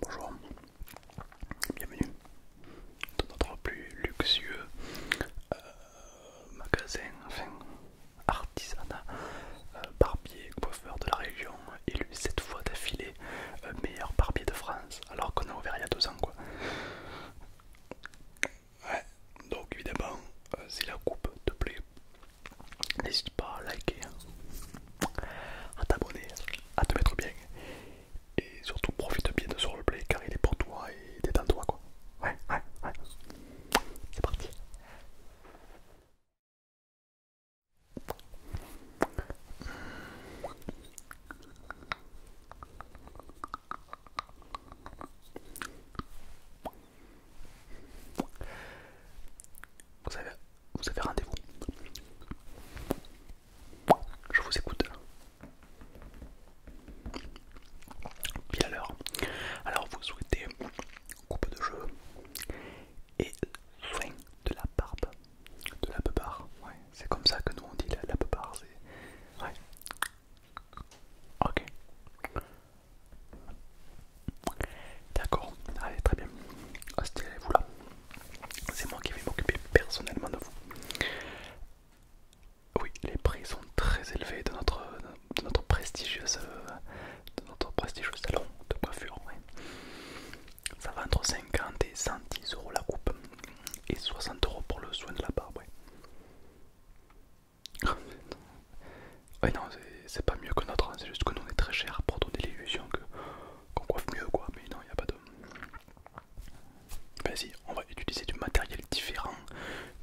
Bonjour, bienvenue dans notre plus luxueux euh, magasin, enfin artisanat, euh, barbier, coiffeur de la région, élu cette fois d'affilée euh, meilleur barbier de France, alors qu'on a ouvert il y a deux ans quoi. Ouais, donc évidemment, euh, si la coupe te plaît, n'hésite pas à liker, à t'abonner, à te mettre bien. Et surtout, profite bien de ce replay car il est pour toi et détends-toi quoi. Ouais, ouais, ouais. C'est parti. Vous avez, rendez-vous. Je vous écoute. puis à l'heure. Alors vous souhaitez coupe de jeu et soin de la barbe. De la barbe c'est comme ça que nous on dit la, la c'est... Ouais. Ok. D'accord, allez très bien. Installez-vous là. C'est moi qui vais m'occuper personnellement de vous. Oui, les prix sont très élevés de notre, notre, notre prestigieux salon de coiffure. Ouais. Ça va entre 50 et 110 euros la coupe et 60 euros pour le soin de la barbe. Oh, ouais non c'est pas mieux que notre, hein. c'est juste que nous on est très cher pour donner l'illusion qu'on coiffe mieux quoi, mais non il a pas de... Vas-y, on va utiliser du matériel différent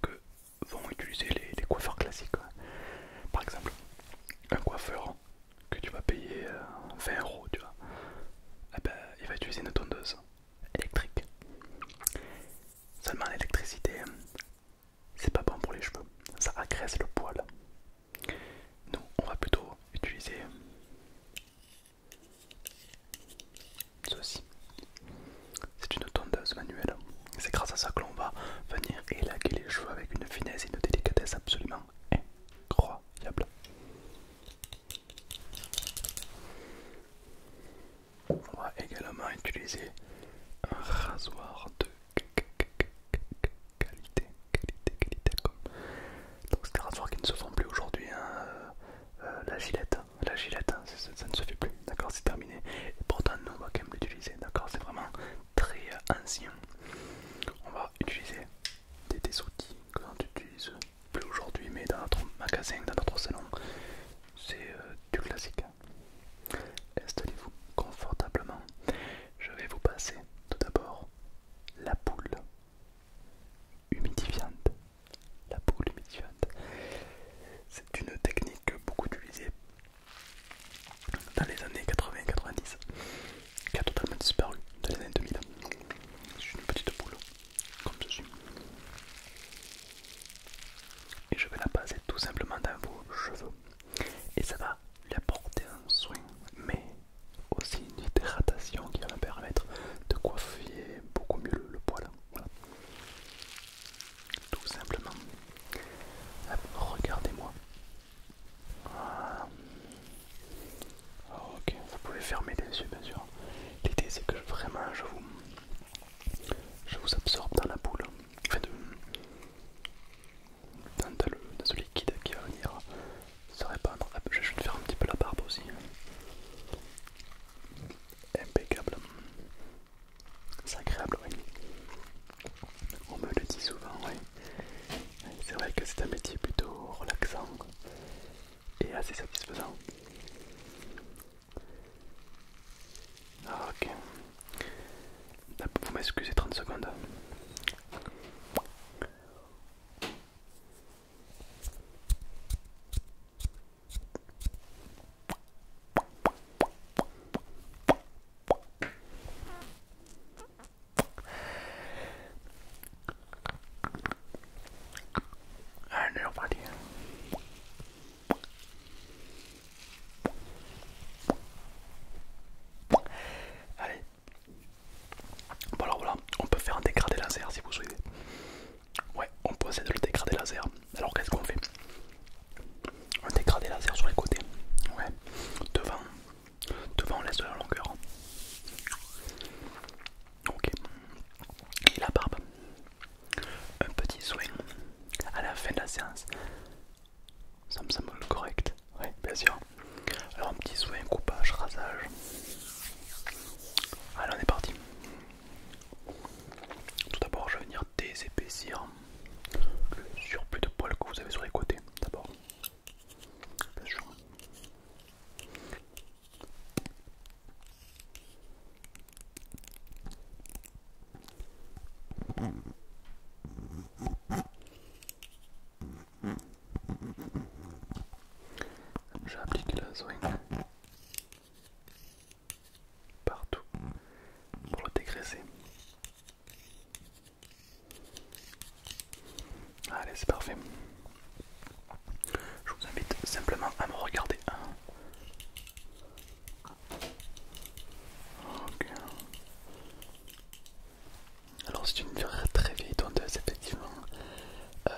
que vont utiliser les, coiffeurs classiques. Hein. Par exemple, un coiffeur que tu vas payer 20 euh, euros, tu vois, eh ben, il va utiliser une tondeuse électrique. Seulement l'électricité, c'est pas bon pour les cheveux, ça agresse le poil. Nous, on va plutôt utiliser ceci. C'est une tondeuse manuelle. C'est grâce à ça que l'on va venir élaguer les cheveux avec une finesse et une délicatesse absolument incroyable. On va également utiliser un rasoir de qualité, qualité, qualité. Donc c'est des rasoirs qui ne se font plus aujourd'hui. Hein, euh, euh, la gilette, hein, la gilette, hein, ça, ne se fait plus. D'accord, c'est terminé. pourtant nous on va quand même l'utiliser. D'accord, c'est vraiment très euh, ancien. On va utiliser des outils que l'on utilise plus aujourd'hui, mais dans notre magasin, dans notre salon, c'est euh, du classique. Installez-vous confortablement. Je vais vous passer tout d'abord la poule humidifiante. La poule humidifiante, c'est une technique beaucoup utilisée dans les années 80-90 qui a disparu dans les années 2000. C'est une petite boule comme ceci. Et je vais la passer tout simplement dans vos cheveux. Et ça va lui apporter un soin, mais aussi une hydratation qui va me permettre de coiffer beaucoup mieux le, poil. Tout simplement. Regardez-moi. Ah. Ok, vous pouvez fermer les yeux bien sûr. L'idée c'est que vraiment je vous je vous absorbe dans la boule, enfin de, dans, ce liquide qui va venir se répandre. je vais juste faire un petit peu la barbe aussi. Impeccable, c'est agréable, oui. On me le dit souvent, oui. C'est vrai que c'est un métier plutôt relaxant et assez satisfaisant. Vous m'excusez 30 secondes. Ah, Allez, voilà, voilà, on peut faire un dégradé laser si vous souhaitez. Ouais, on de le dégradé laser. Alors qu'est-ce qu'on fait Un dégradé laser sur les côtés. Ouais, devant, devant on laisse de la longueur. Ok, et la barbe un petit soin à la fin de la séance. Ça me semble correct, oui, bien sûr. Alors, un petit soin, coupage, rasage. Allez, on est parti. Tout d'abord, je vais venir désépaissir le plus de poils que vous avez sur les côtés. D'abord, J'applique la zone partout pour le dégraisser. Allez, c'est parfait. Je vous invite simplement à me regarder. Alors c'est une très vieille tondeuse effectivement. Euh,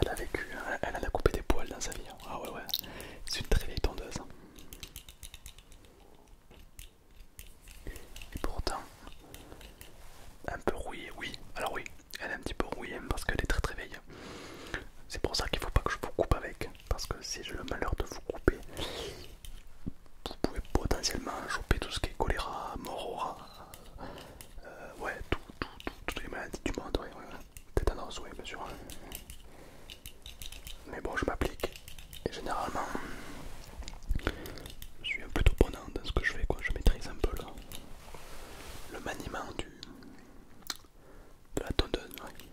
elle, a vécu, hein, elle, en a coupé des poils dans sa vie. Hein. Ah ouais ouais, c'est une très vieille tondeuse. Et pourtant, un peu rouillée, oui. Alors oui, elle est un petit peu rouillée parce qu'elle est très très veilleuse. C'est pour ça qu'il faut pas que je vous coupe avec, parce que si j'ai le malheur de vous couper, vous pouvez potentiellement choper tout ce qui est choléra, mort euh, ouais, tout, tout, toutes les maladies du monde, Peut-être tétanos, bien sûr. Mais bon, je m'applique, et généralement, je suis un peu toponnant dans ce que je fais, je maîtrise un peu le maniement du, de la tondeuse, oui.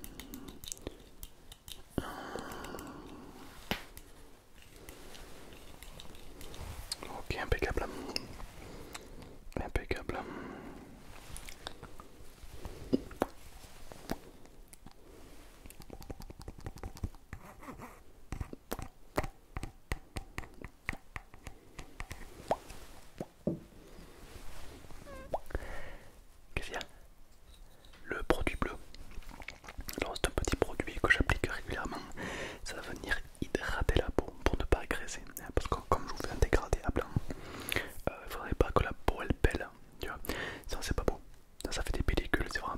Ok, impeccable. Impeccable. Qu'est-ce qu'il y a Le produit bleu. Alors c'est un petit produit que j'applique régulièrement. Ça va venir hydrater la peau pour ne pas agresser. Parce que comme je vous fais un dégradé à blanc, euh, il faudrait pas que la peau elle pèle. Tu c'est pas beau. Ça, fait des pellicules, c'est vraiment,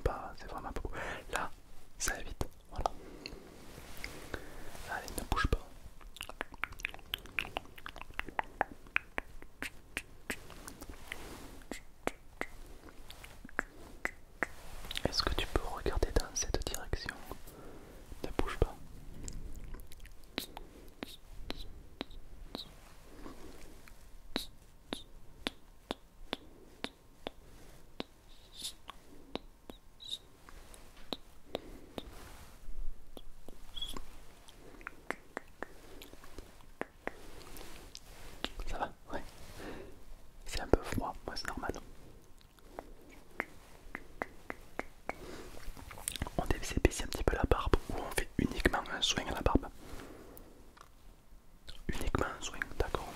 vraiment pas beau. Là, ça évite. Voilà. Allez, ne bouge pas. Est-ce que tu peux regarder dans cette direction Ne bouge pas. Ça va Ouais. C'est un peu froid, moi c'est normal. On dévisse un petit peu la barbe ou on fait uniquement un soin à la barbe Uniquement un soin, d'accord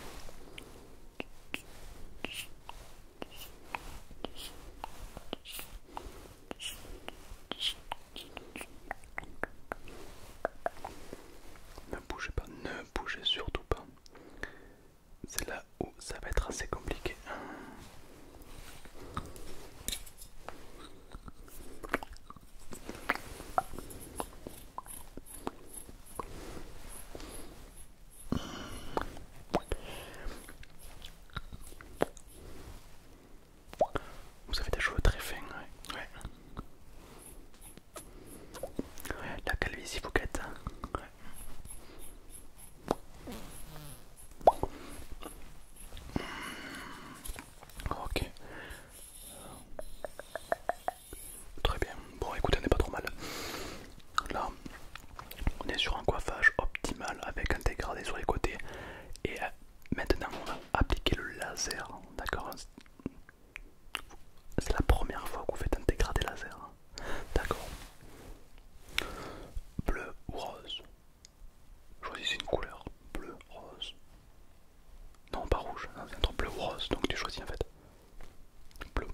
ne bougez pas, ne bougez surtout pas. C'est là où ça va être assez compliqué. Vous avez des cheveux très fins, ouais. ouais. la calvitie vous guette. Hein. Ouais. Mm. Ok. Très bien. Bon, écoutez, on n'est pas trop mal. Là, on est sur un coiffage optimal avec un dégradé sur les côtés. Et euh, maintenant, on va appliquer le laser. D'accord hein. C'est la première fois que vous faites un dégradé laser. Hein. D'accord Bleu ou rose Choisissez une couleur. Bleu, rose. Non, pas rouge. C'est entre bleu ou rose. Donc tu choisis en fait. Bleu.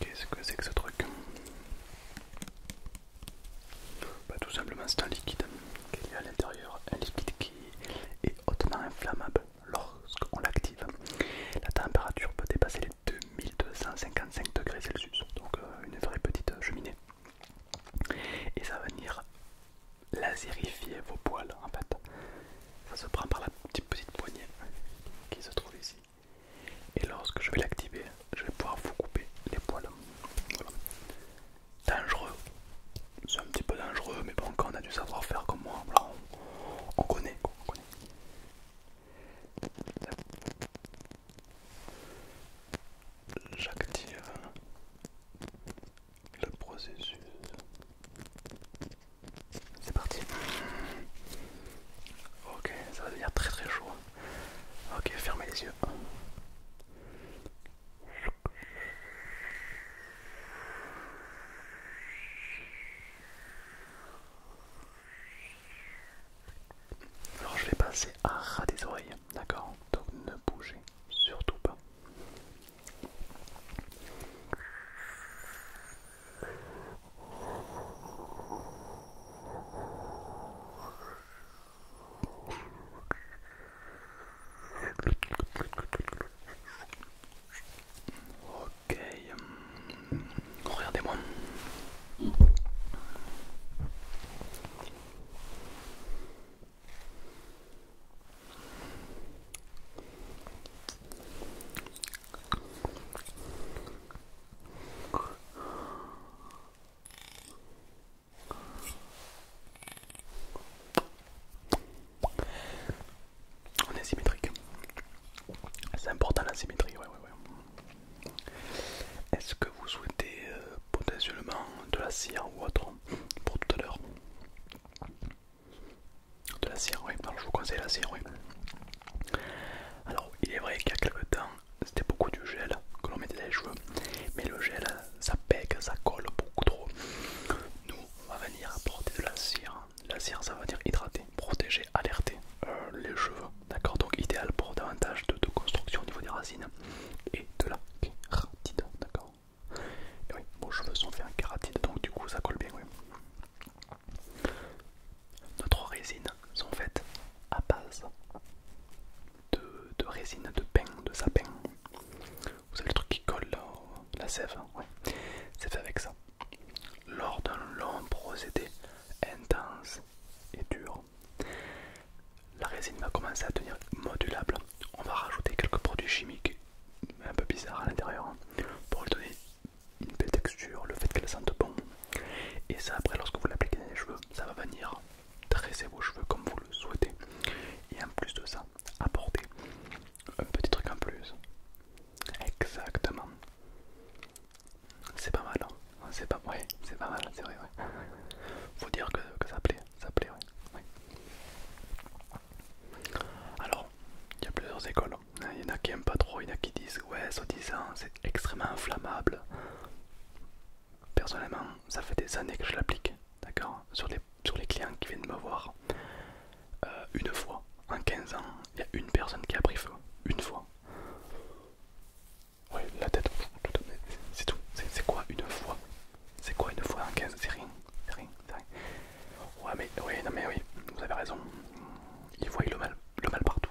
Qu'est-ce que c'est que ce truc bah, Tout simplement, c'est un liquide qui y à l'intérieur, un liquide qui est hautement inflammable lorsqu'on l'active. La température peut dépasser les 2255 degrés Celsius, donc euh, une vraie petite euh, cheminée. Et ça va venir laserifier vos poils en fait. Ça se prend par la petite, petite poignée qui se trouve ici. Et lorsque je vais l'activer, je vais pouvoir vous couper les poils. Dangereux. C'est un petit peu dangereux, mais bon, quand on a du savoir-faire comme moi, on, on connaît. J'active le processus. C'est parti. Ok, ça va devenir très très chaud. Ok, fermez les yeux. Alors je vais passer à ras des oreilles, d'accord Donc ne bougez surtout pas. Ok, regardez-moi. On est symétrique. C'est important la symétrie, oui, oui. Est-ce que vous souhaitez euh, potentiellement de la cire ou autre pour tout à l'heure De la cire, oui. Alors je vous conseille la cire, oui. Alors il est vrai qu'il y a quelques temps, c'était beaucoup du gel que l'on mettait les cheveux. Mais le gel, ça pègue, ça colle beaucoup trop. Nous, on va venir apporter de la cire. La cire, ça va venir hydrater, protéger, alerter euh, les cheveux. D'accord Donc idéal pour davantage de, construction au niveau des racines et de la kératide. D'accord Et oui, vos cheveux sont faits en kératide, donc du coup, ça colle bien, oui. Notre résine, sont faites à base de, résine de pin, de sapin. Vous savez le truc qui colle la sève, hein? C'est fait avec ça. Lors d'un long procédé intense et dur, la résine va commencer à devenir modulable. On va rajouter quelques produits chimiques un peu bizarres à l'intérieur hein, pour le donner une belle texture, le fait qu'elle sente bon. Et ça, après, lorsque vous l'appliquez dans les cheveux, ça va venir dresser vos cheveux comme vous le souhaitez. Et en plus de ça, apporter un petit truc en plus. Exactement. C'est pas mal, hein. c'est pas, ouais, c'est pas mal, c'est vrai, ouais. Faut dire que, ça plaît, ça plaît, Alors, il y a plusieurs écoles. Hein. Il y en a qui aiment pas trop, il y en a qui disent ouais, soi-disant, c'est extrêmement inflammable, Personnellement, ça fait des années que je l'applique, d'accord sur les, clients qui viennent me voir. Euh, une fois, en 15 ans, il y a une personne qui a pris feu. Une fois. Ouais, la tête, c'est tout. C'est quoi une fois C'est quoi une fois en 15 C'est rien, c'est rien, c'est rien. Ouais, mais, oui non, mais oui, vous avez raison. Ils voient le mal, le mal partout.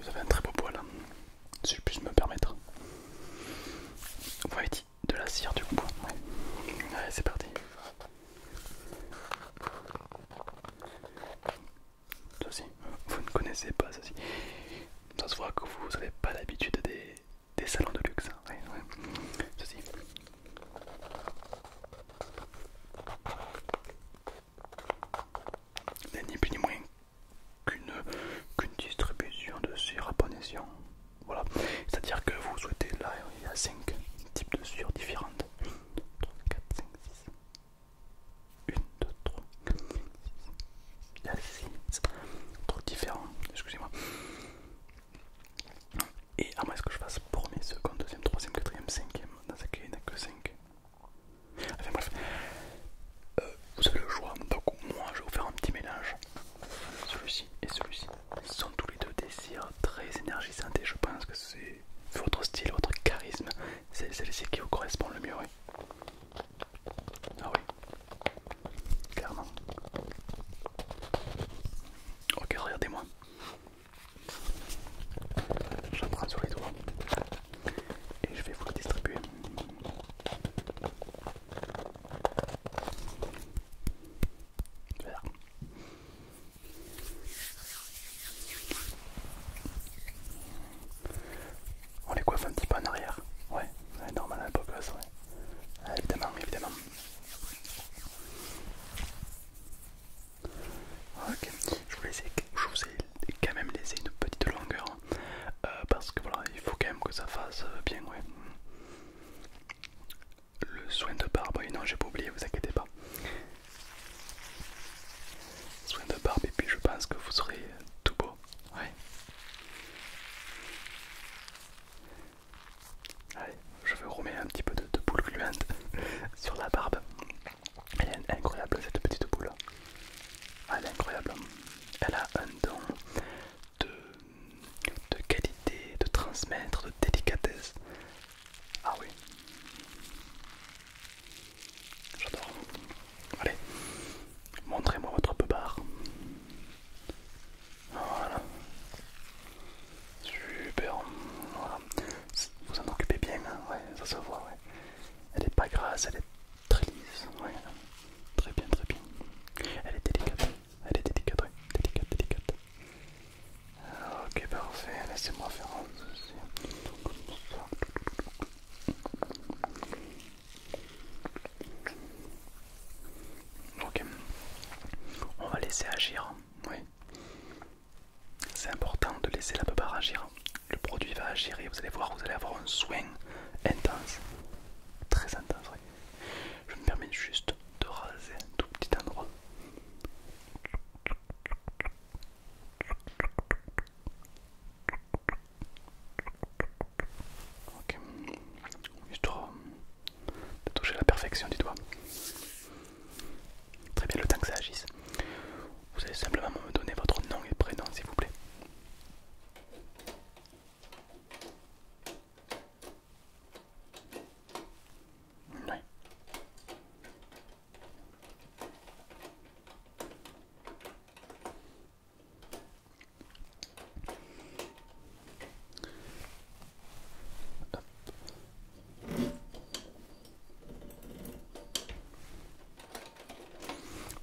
Vous avez un très beau poil, là hein, si je puis me permettre. Vous dit de la cire du bois. Allez, c'est parti. Ceci, vous ne connaissez pas ceci. Ça se voit que vous n'avez pas l'habitude des, salons de luxe. Hein. Ni plus ni moins qu'une distribution de cire à bon escient. c'est-à-dire que vous souhaitez, là il y a 5 types de sur différentes. 1, 2, 3, 4, 5, 6. 1, 2, 3, 4, 5, 6. Il y a 6 trop différents, excusez-moi. Et à moins que je fasse premier, second, deuxième, troisième, quatrième, cinquième, dans ce cas il n'y en a que 5. Euh, vous avez le choix. Donc, moi je vais vous faire un petit mélange. Celui-ci et celui-ci sont tous les deux désirs très énergisants et je pense que c'est votre style, votre charisme. C'est celle-ci qui vous correspond le mieux, oui. Ah oui, clairement. Ok, regardez-moi. J'en prends sur les doigts et je vais vous le distribuer. On les coiffe un petit peu en arrière, ouais, c'est normal à l'époque, ouais. Ah, évidemment, évidemment. Ok, je je vous ai quand même laissé une petite longueur euh, parce que voilà, il faut quand même que ça fasse euh, bien, ouais. Le soin de barbe, oui, non, j'ai pas oublié, vous inquiétez pas. Soin de barbe, et puis je pense que vous serez tout beau, ouais. Allez, je vais remettre un petit peu de, de boule gluante sur la barbe. Elle est incroyable cette petite boule. Elle est incroyable elle a un don de, de qualité, de transmettre, de délicatesse. Ah oui, j'adore. Allez, montrez-moi votre beubard. Voilà, super. Voilà. Vous en occupez bien, hein. ouais, ça se voit. Elle est pas grasse, elle est très lisse, ouais. Très bien, très bien. Elle est délicate, elle est délicate, Délicate, délicate. Ah, ok, parfait. Laissez-moi faire un aussi. Ok, on va laisser agir, oui. C'est important de laisser la peur agir le produit va agir et vous allez voir, vous allez avoir un soin intense, très intense. Je me permets juste de raser un tout petit endroit. Ok, histoire de toucher la perfection du doigt. Très bien, le temps que ça agisse. Vous allez simplement me donner votre nom et prénom, s'il vous plaît.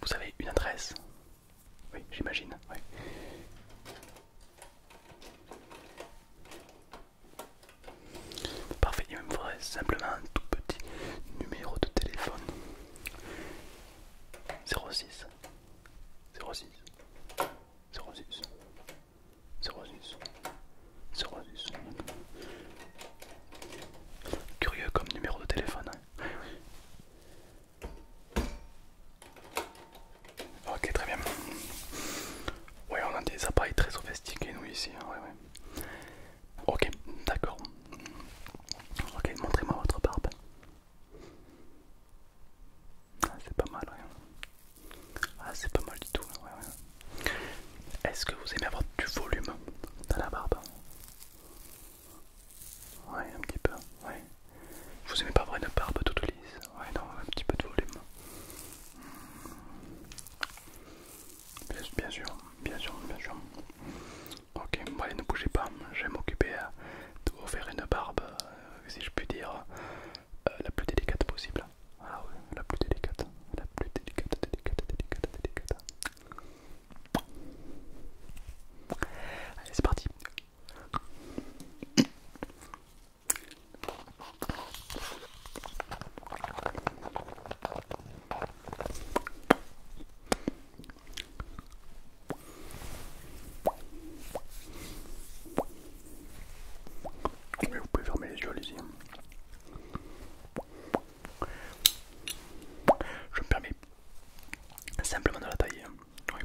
Vous avez une adresse oui, j'imagine. Oui. Parfait, il me faudrait simplement un tout petit numéro de téléphone. 06 06 06 06 06 Curieux comme numéro de téléphone. Hein. Ok, très bien. Oui, on a des appareils très sophistiqués, nous ici. Hein, ok, d'accord. Ok, montrez-moi votre barbe. Ah, c'est pas mal, ouais. Ah, c'est pas mal du tout, Est-ce que vous aimez avoir du volume dans la barbe Ouais, un petit peu, ouais. Vous aimez pas avoir une barbe toute lisse Ouais, non, un petit peu de volume. Hmm. Bien, sûr, bien sûr, bien sûr. Ok, ne bougez pas, je vais m'occuper euh, de vous faire une barbe, euh, si je puis dire, euh, la plus délicate possible. Ah oui, la plus délicate, la plus délicate, délicate, délicate, délicate. Allez, c'est parti. vous pouvez fermer les yeux, allez-y. Je me permets Simplement de la taille. Oui.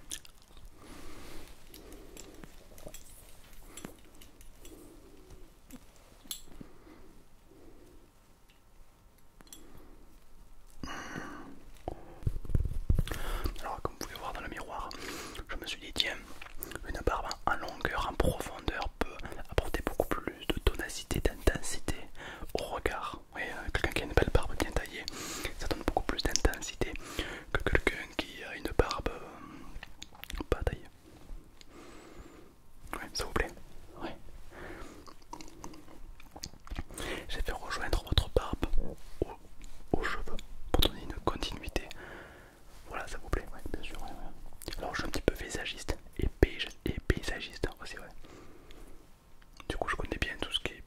Alors comme vous pouvez voir dans le miroir, je me suis dit tiens, une barbe en longueur, en profondeur peut apporter beaucoup plus de tonacité, d'intensité au regard. Oui, euh, quelqu'un qui a une belle barbe bien taillée, ça donne beaucoup plus d'intensité que quelqu'un qui a une barbe euh, pas taillée. Oui, ça vous plaît Oui. J'ai fait rejoindre votre barbe aux, cheveux pour donner une continuité. Voilà, ça vous plaît Oui, bien sûr. Alors je suis un petit peu paysagiste et, paysagiste aussi, ouais. Du coup, je connais bien tout ce qui est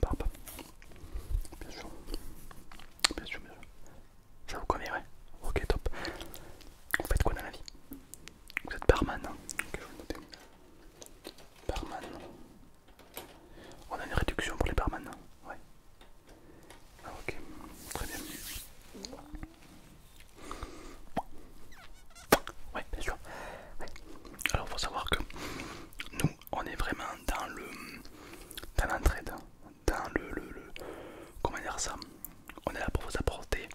barbe. Bien sûr. Bien sûr, bien sûr. Ça vous convient, ouais Ok, top. Vous faites quoi dans la vie Vous êtes barman. Hein ok, je vais le noter. Barman. On a une réduction pour les barman. Hein. Ouais. Ah, ok. Très bien. Ouais, bien sûr. Alors, faut savoir que nous, on est vraiment dans le dans l'entraide, dans le, le, comment dire ça. On est là pour vous apporter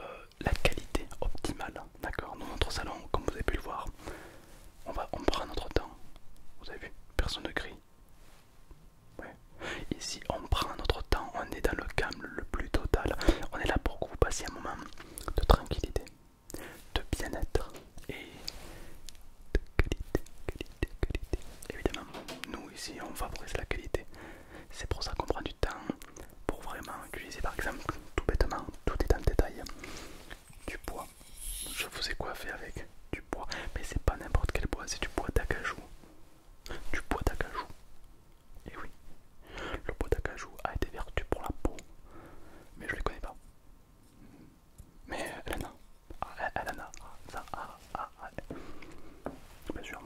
euh, la qualité optimale, d'accord. Dans notre salon, comme vous avez pu le voir, on va on prend notre temps. Vous avez vu, personne ne crie. Ici, on prend notre temps. On est dans le calme le plus total. On est là pour que vous passiez un moment de tranquillité de bien-être et de qualité, qualité, qualité. Évidemment, nous ici on favorise la qualité. C'est pour ça qu'on prend du temps pour vraiment utiliser par exemple tout bêtement, tout est en détail, du bois. Je vous ai coiffé avec du bois, mais c'est pas n'importe quel bois, c'est du bois d'acajou. Du bois d'acajou. Et oui, le pot d'acajou a été vertu pour la peau, mais je les connais pas. Mais elle en a. elle en a. sûr.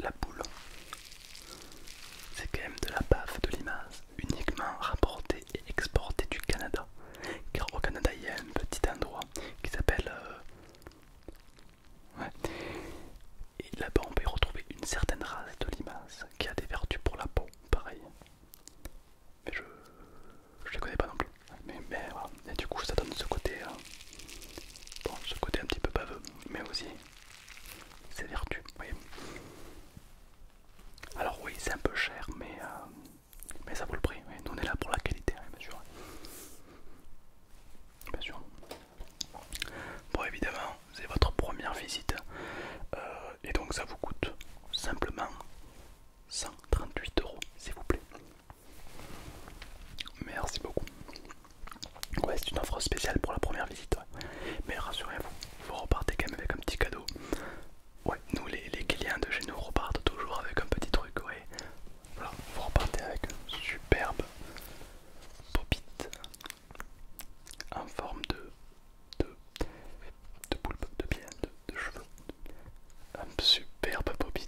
La boule, c'est quand même de la paf de limace, uniquement rapportée et exportée du Canada. Car au Canada, il y a un petit endroit qui s'appelle. Euh, ouais. Et là-bas, on peut y retrouver une certaine race de limaces qui a des vertus pour la peau, pareil. Mais je je les connais pas non plus. Mais, voilà. Et du coup, ça donne ce côté, euh, ce côté un petit peu baveux, mais aussi ses vertus. Voyez. Alors oui, c'est un peu cher, mais euh, mais ça vaut le prix. Nous, on est là pour la qualité, hein, bien sûr. Bien sûr. Bon, évidemment, c'est votre première visite euh, et donc ça vous coûte simplement 138 euros s'il vous plaît merci beaucoup ouais c'est une offre spéciale pour la première visite mais rassurez-vous vous repartez quand même avec un petit cadeau ouais nous les, les clients de chez nous repartent toujours avec un petit truc ouais voilà vous repartez avec un superbe popit en forme de, boule de poulpe, de cheveux. Un superbe Bobbit.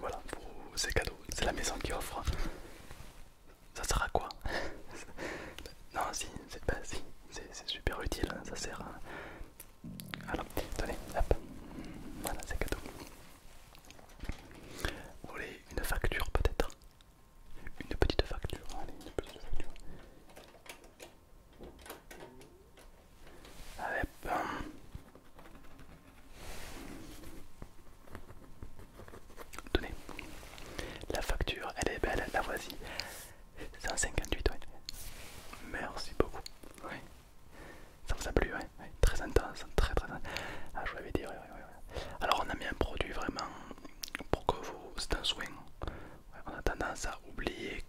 Voilà, c'est cadeau, c'est la maison qui offre. Ça sert à quoi Non, si, c'est pas si, super utile, hein. ça sert à. Alors, tenez, hop, voilà, c'est cadeau. Vous voulez une facture peut-être une petite facture, allez, une petite facture. Allez, Tenez, la facture, elle est belle, la voici. 158, oui. Merci beaucoup. Ouais. Ça vous a plu, ouais, Très intense, très très intense. Ah, je vous l'avais dit, oui, oui, alors on a mis un produit vraiment pour que vous... C'est un soin. on a tendance à oublier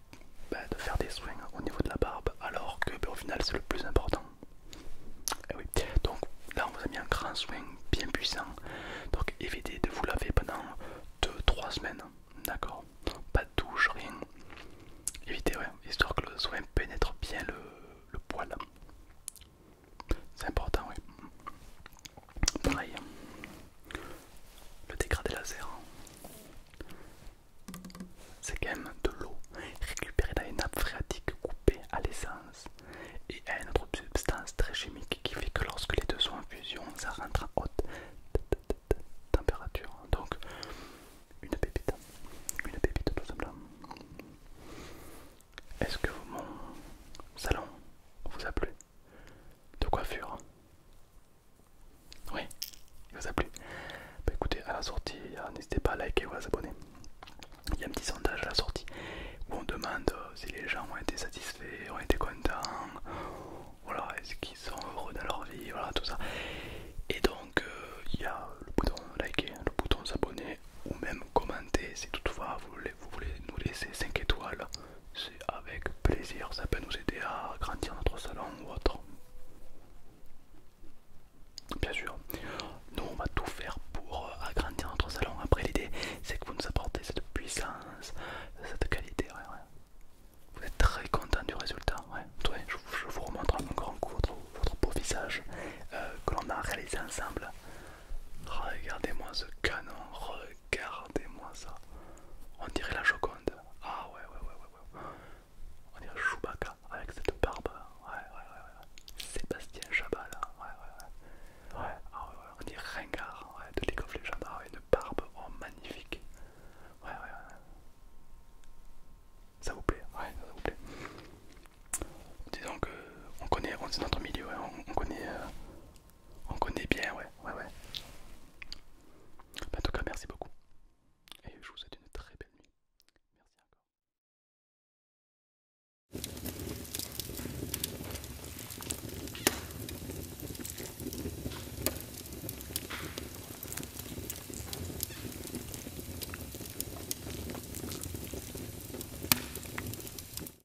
ben, de faire des soins au niveau de la barbe alors que ben, au final c'est le plus important. Eh Donc là on vous a mis un grand soin bien puissant. Donc évitez de vous laver pendant 2-3 semaines. D'accord Pas de douche, rien. Évitez, ouais, histoire que le soin pénètre bien le poil. C'est important, oui. Pareil, hein. le dégradé laser, hein. c'est quand même de l'eau récupérée dans une nappe phréatique coupée à l'essence et à une autre substance très chimique qui fait que lorsque les deux sont en fusion, ça rentre à haute température. Donc, une pépite, une pépite tout simplement. Est-ce que mon salon vous a plu De coiffure Oui, il vous a plu. Bah, écoutez, à la sortie, euh, n'hésitez pas à liker ou à s'abonner. Il y a un petit sondage à la sortie où on demande euh, si les gens ont été satisfaits, ont été contents, voilà, est-ce qu'ils sont heureux dans leur vie, voilà tout ça. Et donc euh, il y a le bouton liker, le bouton s'abonner ou même commenter. Si toutefois vous voulez, vous voulez nous laisser 5 étoiles, c'est avec plaisir. Ça peut nous aider à agrandir notre salon ou autre. Bien sûr, nous on va tout faire pour euh, agrandir notre salon. Après, l'idée c'est que vous nous apportez cette puissance, cette qualité. Vous êtes très content du résultat. Ouais. je, vous remontre encore un coup votre, beau visage euh, que l'on a réalisé ensemble. Regardez-moi ce canon, regardez-moi ça. On dirait la Joconde. Ah ouais, ouais, ouais, ouais. ouais. On dirait Chewbacca avec cette barbe. Ouais, ouais, ouais. ouais. Sébastien Chabal. Hein. Ouais, ouais, ouais. ouais. Ah ouais, On dirait Ringard ouais, de League of Legends. Ah, une barbe oh, magnifique. Ouais, ouais, ouais. Ça vous plaît Ouais, ça vous plaît. Disons que on connaît, on est notre milieu, hein. on, connaît. Euh, on connaît bien, ouais, ouais, ouais. En tout cas, merci beaucoup. Et je vous souhaite une très belle nuit. Merci encore.